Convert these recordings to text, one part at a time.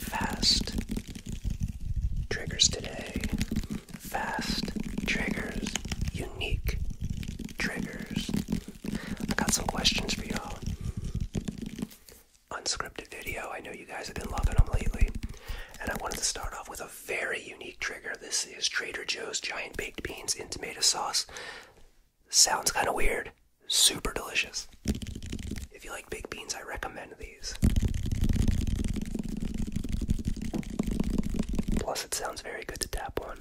Fast triggers today. Fast triggers. Unique triggers. I got some questions for y'all. Unscripted video. I know you guys have been loving them lately. And I wanted to start off with a very unique trigger. This is Trader Joe's Giant Baked Beans in tomato sauce. Sounds kind of weird, super delicious. If you like big beans, I recommend these. Plus, it sounds very good to tap on.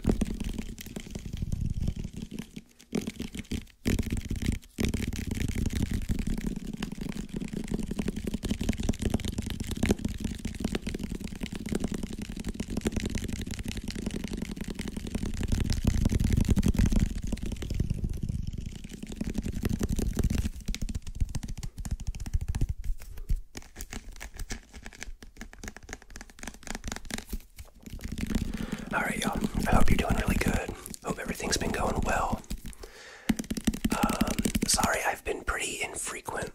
All right, y'all. I hope you're doing really good. Hope everything's been going well. Um, sorry, I've been pretty infrequent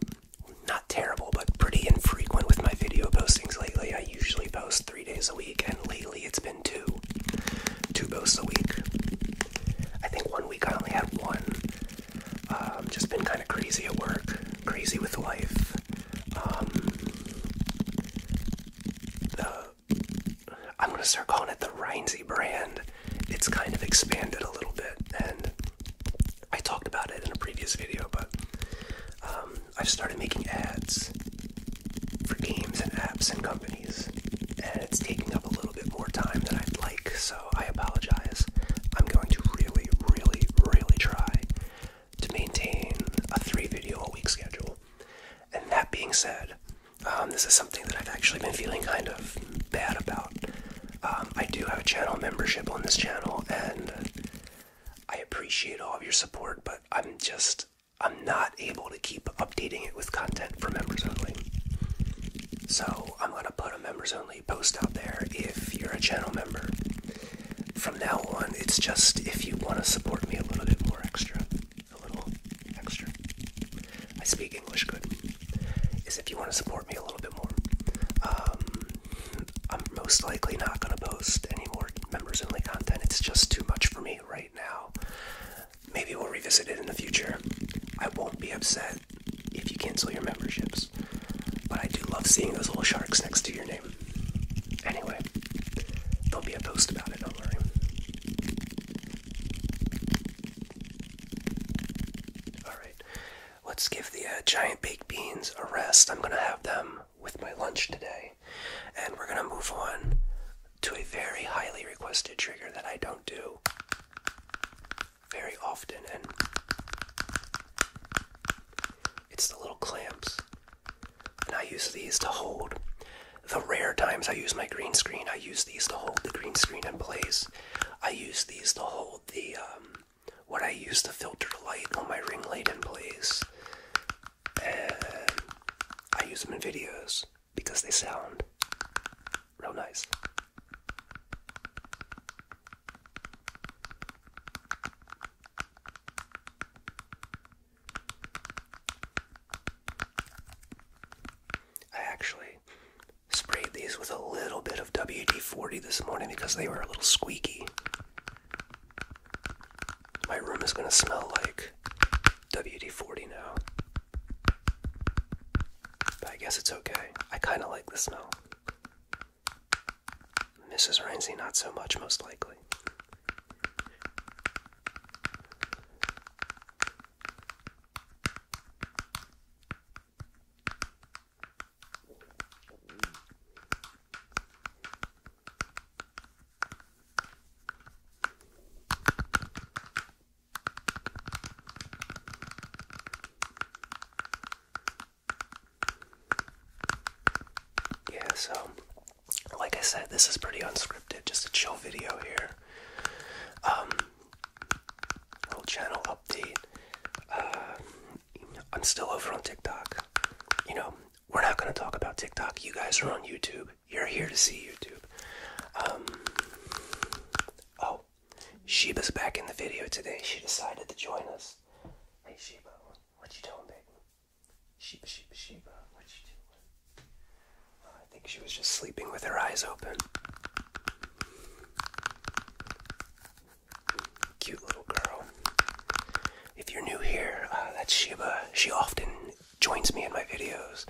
not terrible, but pretty infrequent with my video postings lately. I usually post three days a week, and lately it's been two. Two posts a week. I think one week I only had one. Um, just been kind of crazy at work, crazy with life. Um, I'm gonna start calling it the Rhinesy brand. It's kind of expanded a little bit, and I talked about it in a previous video, but um, I've started making ads for games and apps and companies, and it's taking up a little bit more time than I'd like, so I apologize. I'm going to really, really, really try to maintain a three video a week schedule. And that being said, um, this is something that I've actually been feeling kind of bad about. Um, I do have a channel membership on this channel, and I appreciate all of your support, but I'm just, I'm not able to keep updating it with content for members only. So I'm going to put a members only post out there if you're a channel member. From now on, it's just if you want to support me a little bit more extra. A little extra. I speak English good is if you want to support me a little bit more. Um, I'm most likely not going to post any more members only content. It's just too much for me right now. Maybe we'll revisit it in the future. I won't be upset if you cancel your memberships. But I do love seeing those little sharks next to your name. Anyway, there'll be a post about it, don't worry. Alright, let's give the uh, giant baked beans a rest. I'm going to have them with my lunch today. And we're going to move on to a very highly requested trigger that I don't do very often. And it's the little clamps. And I use these to hold. The rare times I use my green screen, I use these to hold the green screen in place. I use these to hold the um, what I use to filter the light on my ring light in place. And I use them in videos because they sound real nice. I actually Sprayed these with a little bit of WD 40 this morning because they were a little squeaky. My room is going to smell like WD 40 now. But I guess it's okay. I kind of like the smell. Mrs. Rainsy, not so much, most likely. Yeah, so like I said, this is pretty unscripted, just a chill video here. Um, little channel update. Um, I'm still over on TikTok. You know, we're not going to talk about TikTok. You guys are on YouTube. You're here to see YouTube. Um, oh, Sheba's back in the video today. She decided to join us. Hey, Sheba, what you doing, baby? Sheba, Sheba, Sheba, what you doing? I think she was just sleeping with her eyes open. Cute little girl. If you're new here, uh, that's Sheba. She often joins me in my videos.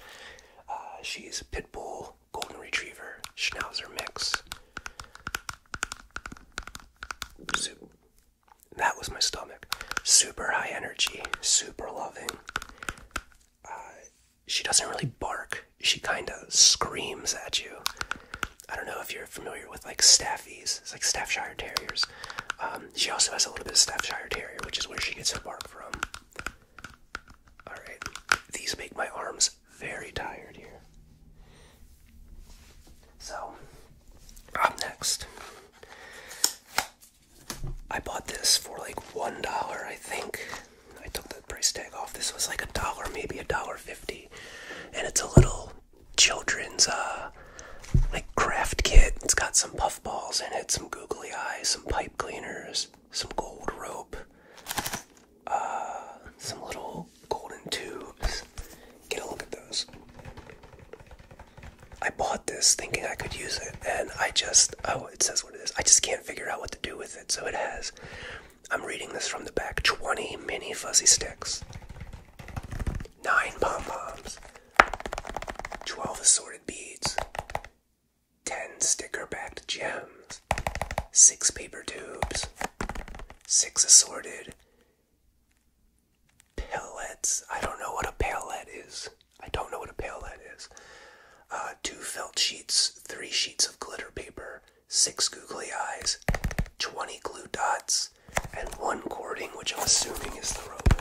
Uh, she's pit bull, golden retriever, schnauzer mix. that was my stomach. Super high energy, super loving. Uh, she doesn't really bark. She kind of screams at you. I don't know if you're familiar with like staffies. It's like Staffshire Terriers. Um, she also has a little bit of Staffshire Terrier, which is where she gets her bark from. Alright, these make my arms very tired here. So, up next. I bought this for like $1, I think. I took the price tag off. This was like a dollar, maybe a dollar fifty, and it's a little children's uh like craft kit. It's got some puff balls in it, some googly eyes, some pipe cleaners, some gold rope, uh, some little golden tubes. Get a look at those. I bought this thinking I could use it, and I just oh, it says what it is. I just can't figure out what to do with it. So it has I'm reading this from the back 20 mini fuzzy sticks, 9 pom poms, 12 assorted beads, 10 sticker backed gems, 6 paper tubes, 6 assorted pellets. I don't know what a pellet is. I don't know what a pellet is. Uh, two felt sheets, three sheets of glitter paper, six googly eyes, 20 glue dots, and one cording, which I'm assuming is the rope.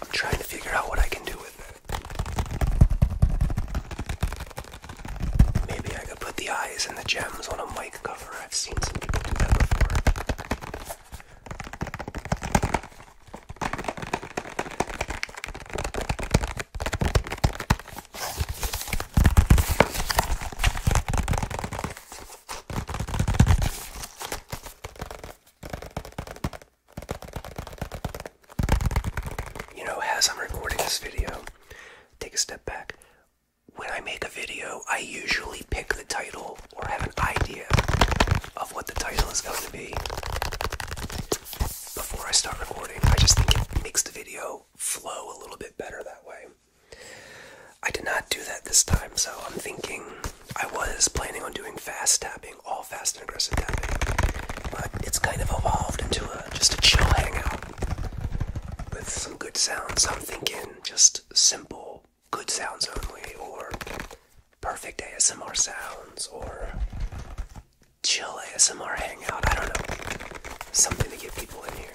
I'm trying to figure out what I can do with it. Maybe I could put the eyes and the gems on a mic cover. I've seen some people do that before. You know, as I'm recording this video, take a step back. When I make a video, I usually pick the title or have an idea of what the title is going to be before I start recording. I just think it makes the video flow a little bit better that way. I did not do that this time, so I'm thinking I was planning on doing fast tapping, all fast and aggressive tapping, but it's kind of evolved into a, just a chill hangout with some good sounds. I'm thinking just simple good sounds only, or perfect ASMR sounds, or chill ASMR hangout. I don't know. Something to get people in here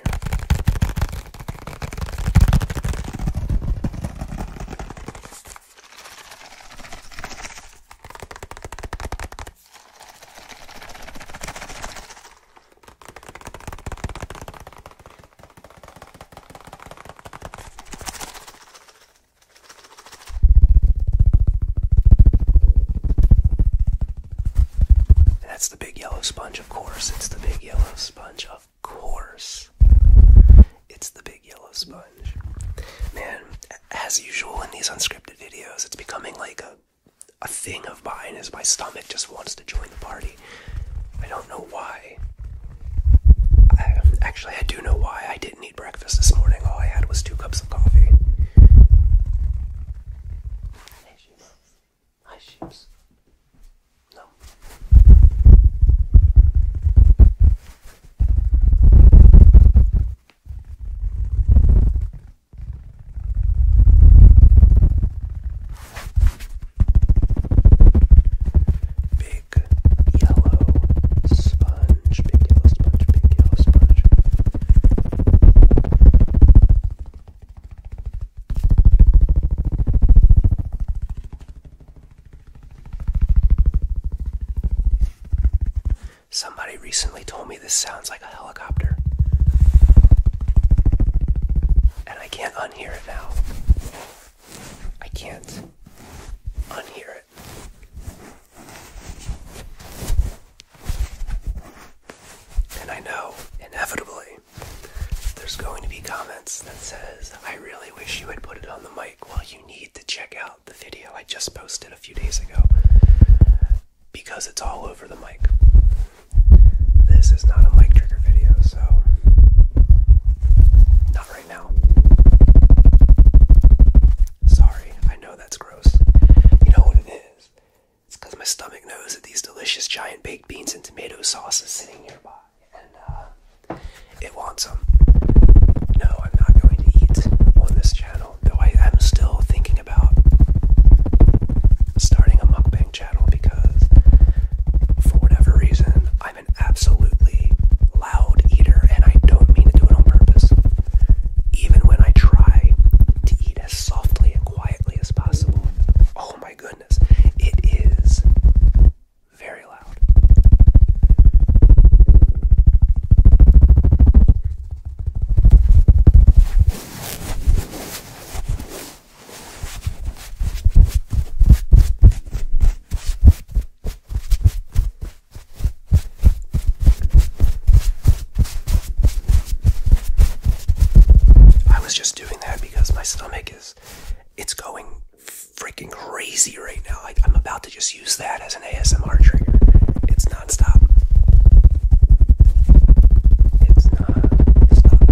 that's the big yellow sponge, of course. It's the big yellow sponge, of course. It's the big yellow sponge. Man, as usual in these unscripted videos, it's becoming like a a thing of mine is my stomach just wants to join the party. I don't know why. Um, actually, I do know why I didn't eat breakfast this morning. All I had was two cups of coffee. Hey, sheeps. Hi, sheeps. No. Big yellow sponge, big yellow sponge, big yellow sponge. Somebody recently told me this sounds like a helicopter. And I can't unhear it now. I can't unhear it. And I know, inevitably, there's going to be comments that says, I really wish you had put it on the mic. Well, you need to check out the video I just posted a few days ago because it's all over the mic. This is not a mic trigger video, so not Sorry, I know that's gross. You know what it is? It's because my stomach knows that these delicious giant baked beans and tomato sauce is sitting nearby, and uh, it wants them. No, I'm not going to eat on this channel, though I am still thinking about starting a mukbang channel because, for whatever reason, I an absolutely loud eater, and I don't mean to do it on purpose. Even when I try to eat as softly and quietly as possible, oh my goodness, it is very loud. I was just doing that because my stomach is it's going freaking crazy right now. I'm about to just use that as an ASMR trigger. It's nonstop. It's nonstop.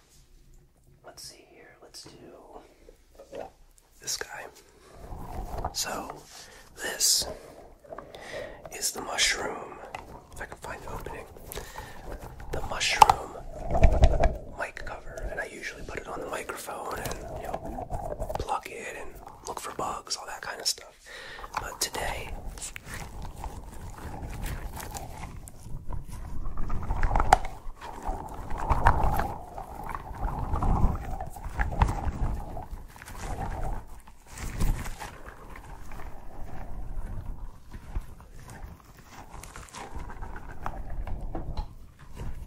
Let's see here. Let's do this guy. So, this is the mushroom. If I can find the opening, the mushroom mic cover, and I usually put it on the microphone and you it and look for bugs, all that kind of stuff. But today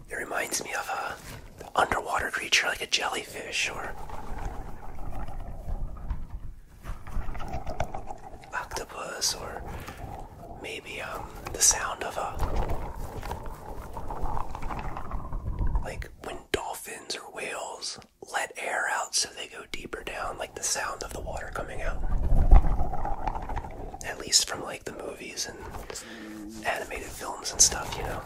it reminds me of a underwater creature like a jellyfish or octopus or maybe um, the sound of a like when dolphins or whales let air out so they go deeper down like the sound of the water coming out at least from like the movies and animated films and stuff you know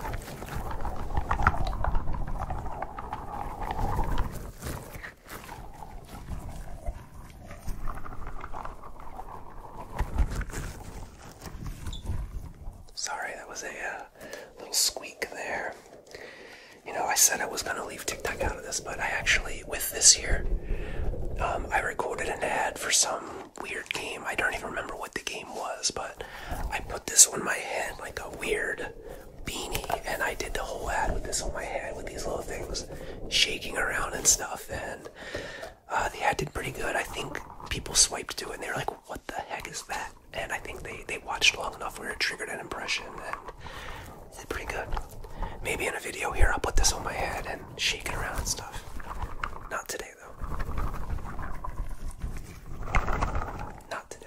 Sorry, that was a uh, little squeak there. You know, I said I was gonna leave TikTok out of this, but I actually, with this year, um, I recorded an ad for some weird game. I don't even remember what the game was, but I put this on my head like a weird beanie, and I did the whole ad with this on my head with these little things shaking around and stuff. And uh, the ad did pretty good. I think people swiped too, and they were like, "What the heck is that?" And I think they they watched long enough where it triggered an impression, and did pretty good. Maybe in a video here, I'll put this on my head and shake it around and stuff. Not today though. Not today.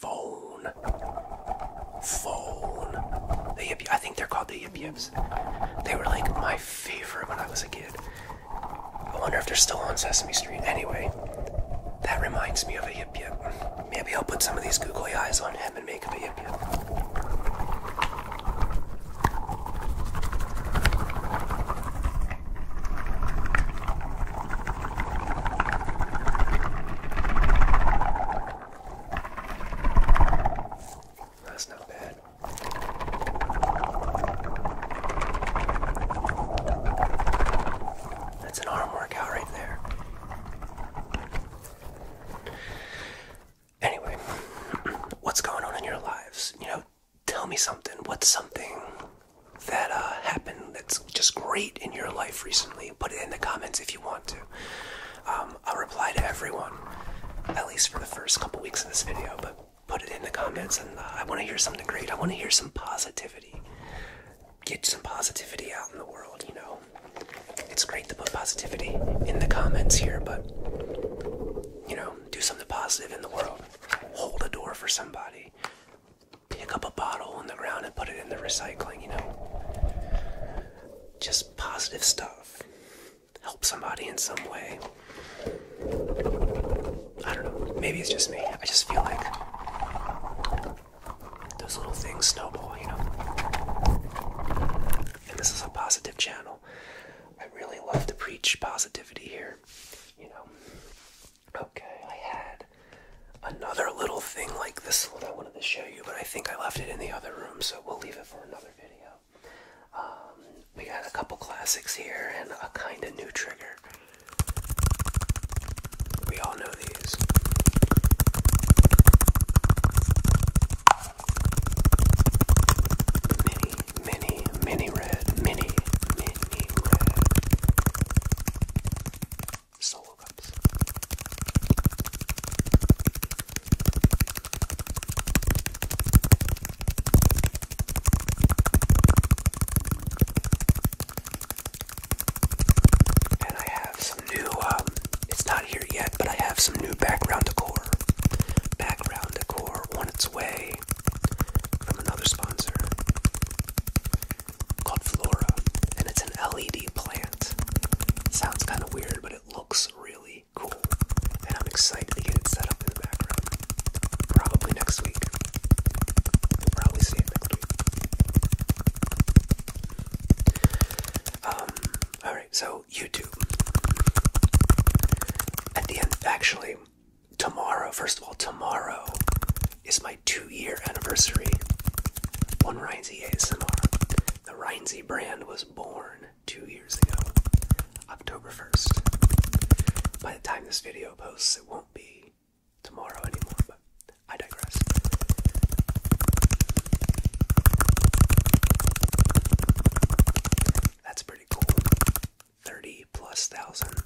Phone. Phone. The Yip I think they're called the Yip Yips. They were like my favorite when I was a kid. I wonder if they're still on Sesame Street. Anyway, that reminds me of a Yip Yip. Maybe I'll put some of these googly eyes on him and make him a Yip Yip. That's not bad. That's an arm workout right there. Anyway, what's going on in your lives? You know, tell me something. What's something that uh, happened that's just great in your life recently? Put it in the comments if you want to. Um, I'll reply to everyone, at least for the first couple weeks of this video, but put it in the comments and uh, I want to hear something great. I want to hear some positivity. Get some positivity out in the world, you know. It's great to put positivity in the comments here, but you know, do something positive in the world. Hold a door for somebody. Pick up a bottle on the ground and put it in the recycling, you know just positive stuff. Help somebody in some way. I don't know. Maybe it's just me. I just feel like those little things snowball, you know? And this is a positive channel. I really love to preach positivity here, you know? Okay, I had another little thing like this one I wanted to show you, but I think I left it in the other room, so we'll leave it for another video. Um, we got a couple classics here and a kind of new trigger. We all know these. Mini, mini, mini red, mini, mini red solo cups. And I have some new, um, it's not here yet, but I have some new background decor. Background decor on its way from another sponsor called Flora, and it's an LED plant. Sounds kind of weird, but it looks really cool, and I'm excited to get it set up in the background. Probably next week. You'll probably see it Um. All right. So YouTube. At the end, actually, tomorrow. First of all, tomorrow is my two year anniversary on Rhinesy ASMR. The Rhinesy brand was born two years ago, October 1st. By the time this video posts, it won't be tomorrow anymore, but I digress. That's pretty cool. 30 plus thousand,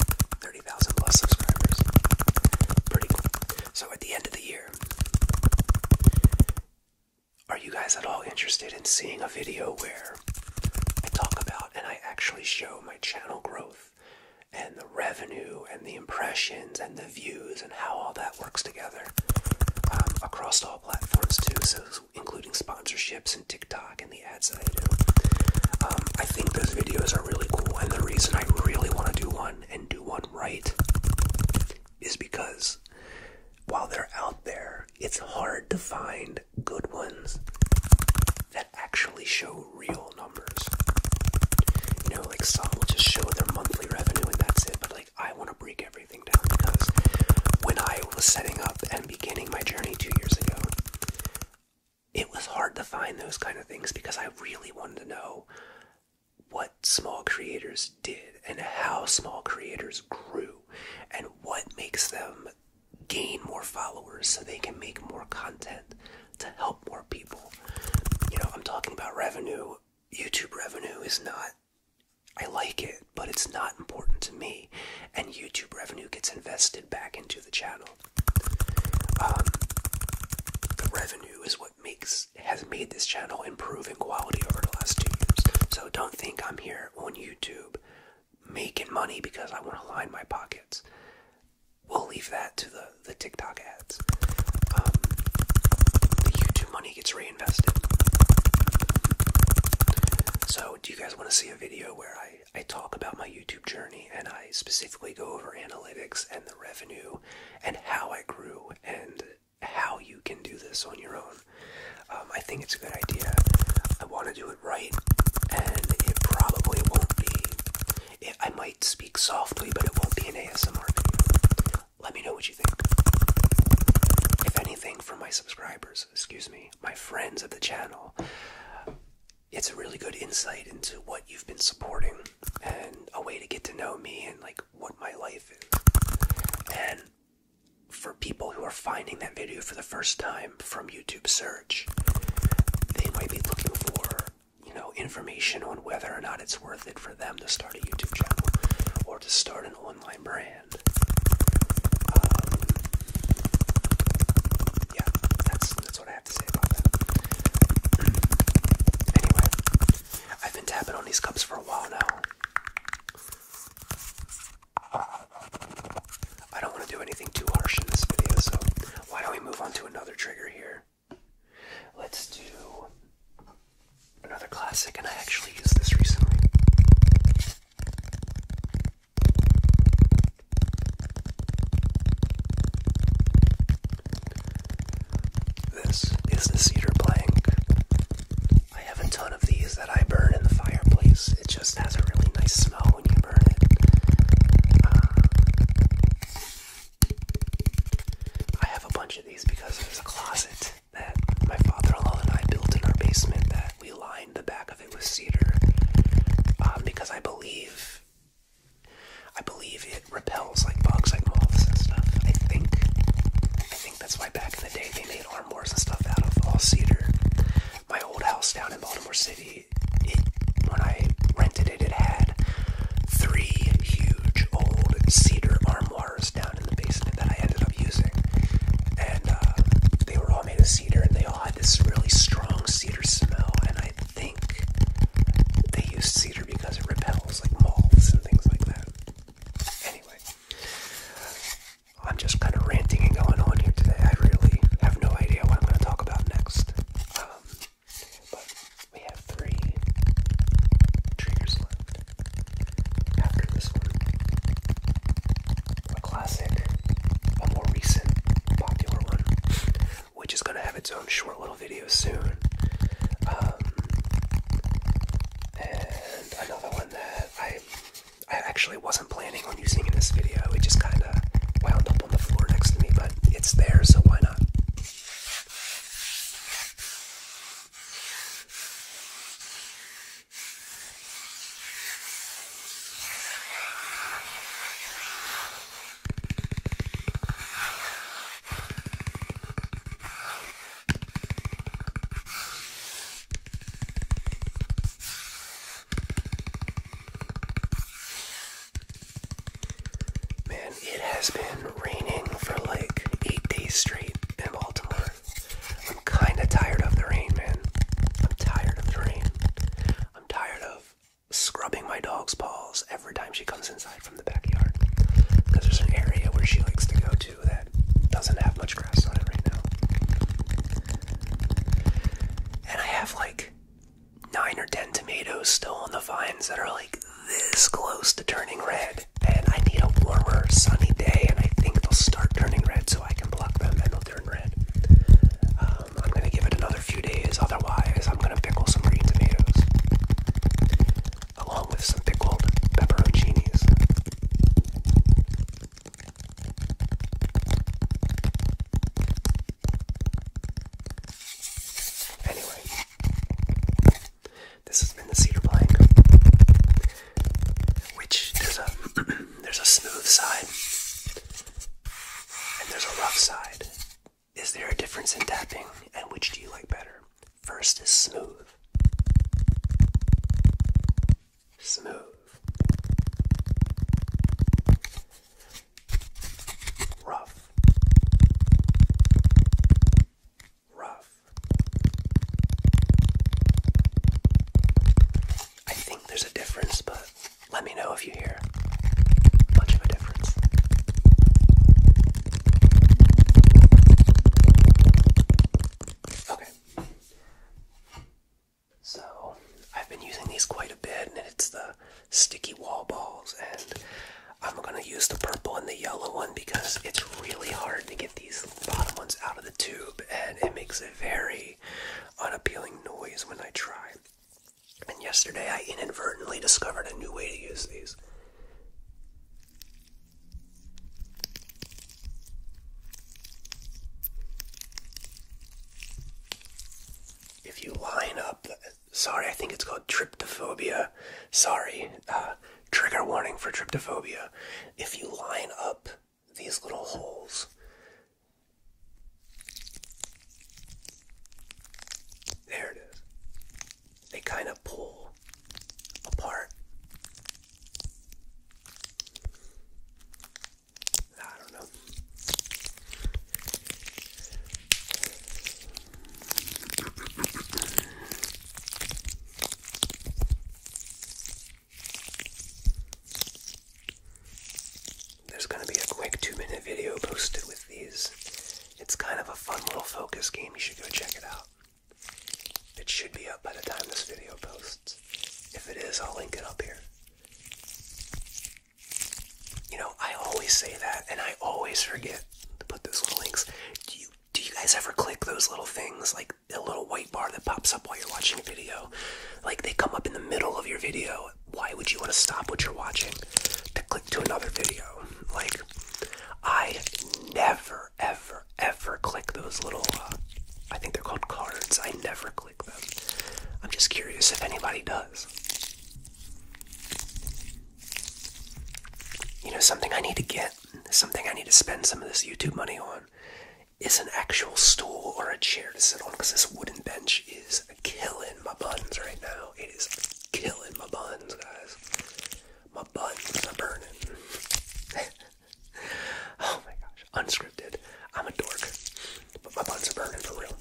plus subscribers. Pretty cool. So at the end of the year, are you guys at all interested in seeing a video where I talk about and I actually show my channel growth and the revenue and the impressions and the views and how all that works together um, across all platforms too, so including sponsorships and TikTok and the ads I do. Um, I think those videos are really cool, and the reason I really want to do one and do one right is because while they're out there, it's hard to find good ones that actually show real numbers. You know, like some will just show their monthly revenue and that's it, but like I want to break everything down because when I was setting up and beginning my journey two years ago, it was hard to find those kind of things because I really wanted to know what small creators did and how small creators grew and what makes them gain more followers so they can make more content to help more people. You know, I'm talking about revenue. YouTube revenue is not, I like it, but it's not important to me. And YouTube revenue gets invested back into the channel. Um, the revenue is what makes has made this channel improve in quality over the last two years. So don't think I'm here on YouTube making money because I want to line my pockets. We'll leave that to the the TikTok ads. Um, the YouTube money gets reinvested. So, do you guys want to see a video where I I talk about my YouTube journey and I specifically go over analytics and the revenue and how I grew and how you can do this on your own. Um, I think it's a good idea. I want to do it right, and it probably won't be. It, I might speak softly, but it won't be an ASMR video. Let me know what you think. If anything, for my subscribers, excuse me, my friends of the channel, it's a really good insight into what you've been supporting and a way to get to know me and like what my life is. And for people who are finding that video for the first time from YouTube search, they might be looking for, you know, information on whether or not it's worth it for them to start a YouTube channel or to start an online brand. Um, yeah, that's that's what I have anyway, I've been tapping on these cups for a while now. I don't want to do anything too harsh in this video, so why don't we move on to another trigger here? Let's do another classic, and I actually used this recently. This is the cedar plank. I have a ton of these that I burn in the fireplace. It just has a really nice smell when you burn it. Uh, I have a bunch of these because there's a closet that my father-in-law and I built in our basement that we lined the back of it with cedar um, because I believe I believe it repels like bugs, like moths and stuff. I think, I think that's why back in the day they made armors and stuff out of all cedar. My old house down in Baltimore City, when I rented it, it had three huge old cedar armoires down in the basement that I ended up using, and uh, they were all made of cedar, and they all had this really strong cedar smell, and I think they use cedar because it repels like moths and things like that. Anyway, I'm just kind of ranting and going on here today. I really have no idea what I'm going to talk about next. Um, but we have three triggers left after this one. A classic, a more recent, popular one, which is going to have its own short little video soon. Um, and another one that I I actually wasn't planning on using in this video. It just kind of wound up on the floor next to me, but it's there, so why not? Man, it has been raining for like eight days straight in Baltimore. I'm kind of tired of the rain, man. I'm tired of the rain. I'm tired of scrubbing my dog's paws every time she comes inside from the backyard because there's an area where she likes to go to that doesn't have much grass on it right now. And I have like nine or ten tomatoes still on the vines that are like this close to turning red. And I need a warmer, sunny day, and I think they'll start turning red so I can pluck them and they'll turn red. Um, I'm gonna give it another few days. Otherwise, I'm gonna pickle some green tomatoes along with some pickled pepperoncinis. Anyway, this has been the cedar plank, which there's a there's a smooth side and there's a rough side. Is there a difference in tapping and which do you like better? First is smooth. Smooth. Rough. Rough. I think there's a difference, but let me know if you hear much of a difference. Okay. So, I've been using these quite a bit, and it's the sticky wall balls, and I'm gonna use the purple and the yellow one because it's really hard to get these bottom ones out of the tube, and it makes a very unappealing noise when I try. And yesterday I inadvertently discovered a new way to use these. If you line up, sorry, I think it's called tryptophobia. Sorry, uh, trigger warning for tryptophobia. If you line up these little holes there it is. They kind of pull apart. I don't know. There's going to be a quick two minute video posted with these. It's kind of a fun little focus game. You should go check it out. It should be up by the time this video posts. If it is, I'll link it up here. You know, I always say that and I always forget to put those little links. Do you do you guys ever click those little things like a little white bar that pops up while you're watching a video? Like they come up in the middle of your video why would you want to stop what you're watching to click to another video? Like, I never, ever, ever click those little, uh, I think they're called cards. I never click them. I'm just curious if anybody does. You know, something I need to get, something I need to spend some of this YouTube money on is an actual stool or a chair to sit on because this wooden bench is killing my buns right now. It is killing my buns, guys. My buns are burning. oh my gosh. Unscripted. I'm a dork. But my buns are burning for real.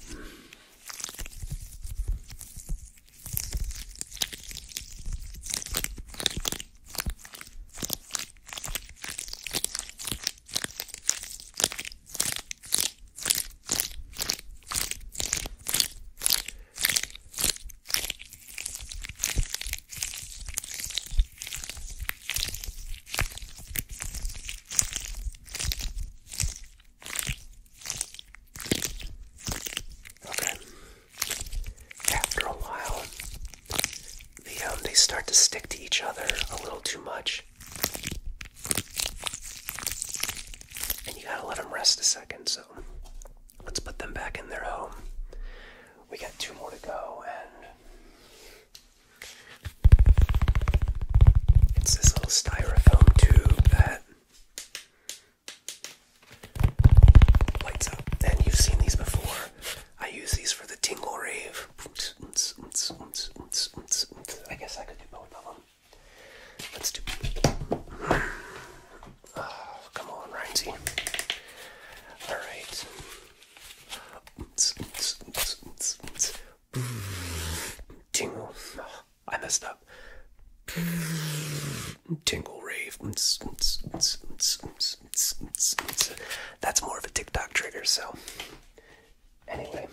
Okay. After a while, the um, they start to stick to each other a little too much. And you gotta let them rest a second, so let's put them back in their home. We got two more to go, and it's this little styrofoam tube that lights up. And you've seen these before. I use these for the Tingle Rave. I guess I can do both of them. Let's do. Oh, come on, Rhinesy. All right. Tingle. I messed up. Tingle rave. That's more of a TikTok trigger, so Anyway.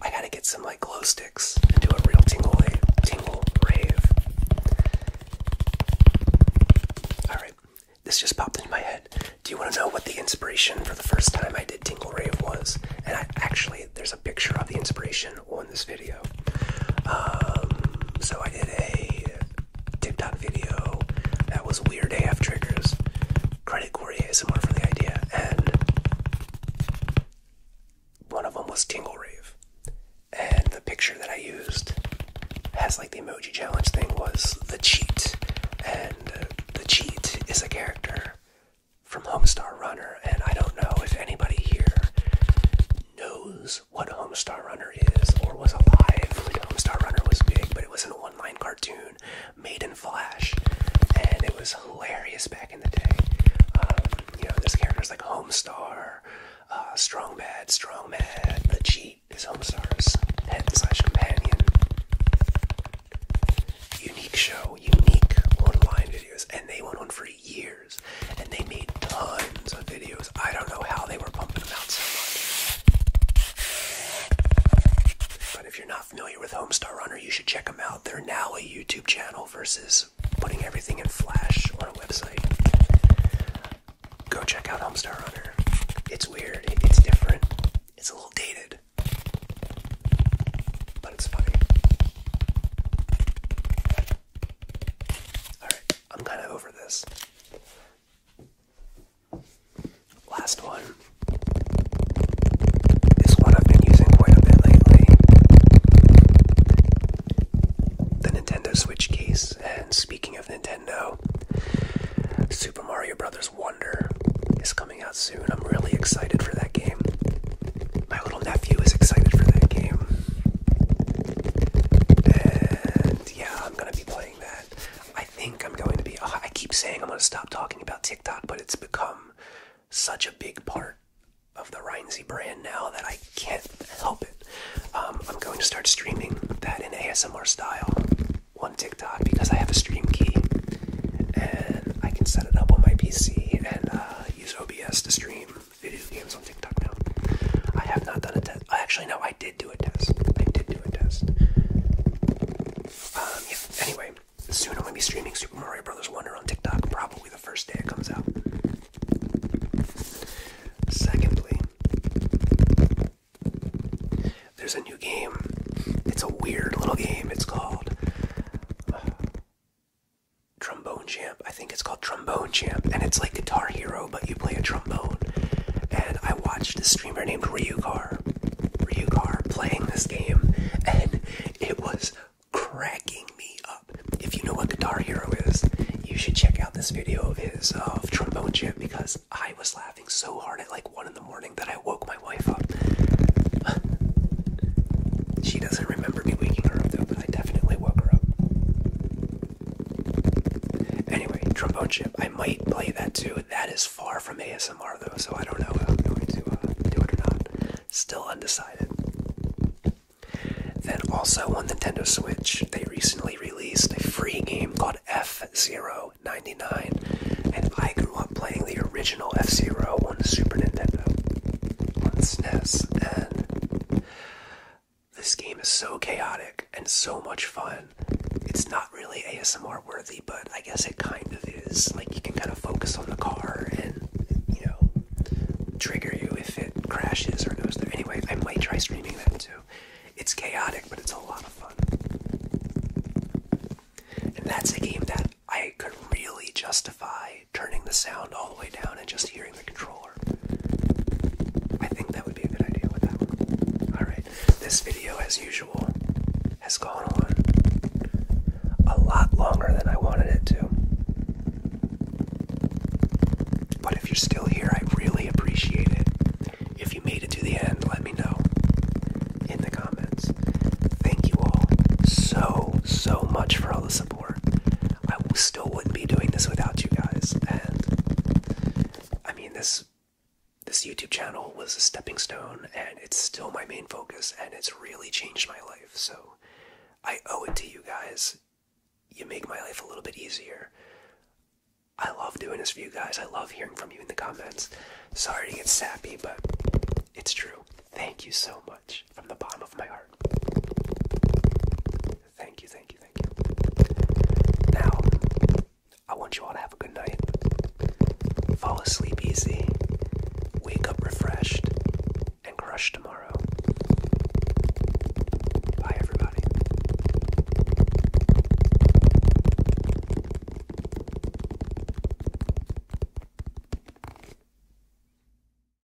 I gotta get some like glow sticks and do a real tingle tingle rave. Alright, this just popped into my head. Do you want to know what the inspiration for the first time I did Tingle Rave was? And I actually there's a picture of the inspiration on this video. Um so I did a TikTok video that was weird AF triggers. Credit Corey ASMR for the idea, and one of them was Tingle Rave. And the picture that I used has like the emoji challenge thing was the cheat, and the cheat is a character from Homestar Runner, and I don't know if anybody here knows what Homestar Runner is or was alive Homestar Runner was big, but it was an online cartoon made in Flash, and it was hilarious back in the day. Um, you know, this character's like Homestar, uh, Strong Bad, Strong Mad, the Cheat is Homestar's pet slash companion. Unique show, unique online videos, and they went on for years and they made tons of videos. I don't know how they were pumping them out so much. But if you're not familiar with Homestar Runner, you should check them out. They're now a YouTube channel versus putting everything in Flash on a website. Go check out Homestar Runner. It's weird, it's different, it's a little dated, but it's funny. Alright, I'm kind of over this. Last one is one I've been using quite a bit lately. The Nintendo Switch case, and speaking of Nintendo, Super Mario Brothers Wonder is coming out soon. I'm really excited for that game. My little nephew is excited for that game. And yeah, I'm gonna be playing that. I think I'm going to be. Oh, I keep saying I'm gonna stop talking about TikTok, but it's become such a big part of the Rhinesy brand now that I can't help it. Um, I'm going to start streaming that in ASMR style one TikTok because I have a stream key and I can set it up on my PC and uh, use OBS to stream video games on TikTok now. I have not done a test. Actually, no, I did do a test. I did do a test. Um, Anyway, soon I'm gonna be streaming Super Mario Brothers Wonder on TikTok. Probably the first day it comes out. Secondly, there's a new game. It's a weird little game. It's called. Trombone Champ. I think it's called Trombone Champ, and it's like Guitar Hero, but you play a trombone. And I watched a streamer named Ryugar, Ryugar playing this game, and it was cracking me up. If you know what Guitar Hero is, you should check out this video of his of Trombone Champ because I was laughing so hard at like one in the morning that I woke my wife up. she doesn't remember me waking her up though. I definitely woke her Anyway, trombone chip. I might play that too. That is far from ASMR though, so I don't know I'm going to uh, do it or not. Still undecided. Then also on Nintendo Switch, they recently released a free game called F099, and I grew up playing the original F0 on the Super Nintendo, on SNES, and this game is so chaotic and so much fun. It's not really ASMR worthy, but I guess it kind of is. Like, you can kind of focus on the car and, you know, trigger you if it crashes or goes there. Anyway, I might try streaming that too. It's chaotic, but it's a lot of fun. And that's a game that I could really justify turning the sound all the way down and just hearing the controller. I think that would be a good idea with that Alright, this video, as usual, has gone on a lot longer than I wanted it to. But if you're still here, I really appreciate it. If you made it to the end, let me know in the comments. Thank you all so, so much for all the support. I still wouldn't be doing this without you guys. And I mean, this this YouTube channel was a stepping stone, and it's still my main focus, and it's really changed my life. So I owe it to you guys. You make my life a little bit easier. I love doing this for you guys. I love hearing from you in the comments. Sorry to get sappy, but it's true. Thank you so much from the bottom of my heart. Thank you, thank you, thank you. Now, I want you all to have a good night. Fall asleep easy, wake up refreshed, and crush tomorrow. Bye, everybody.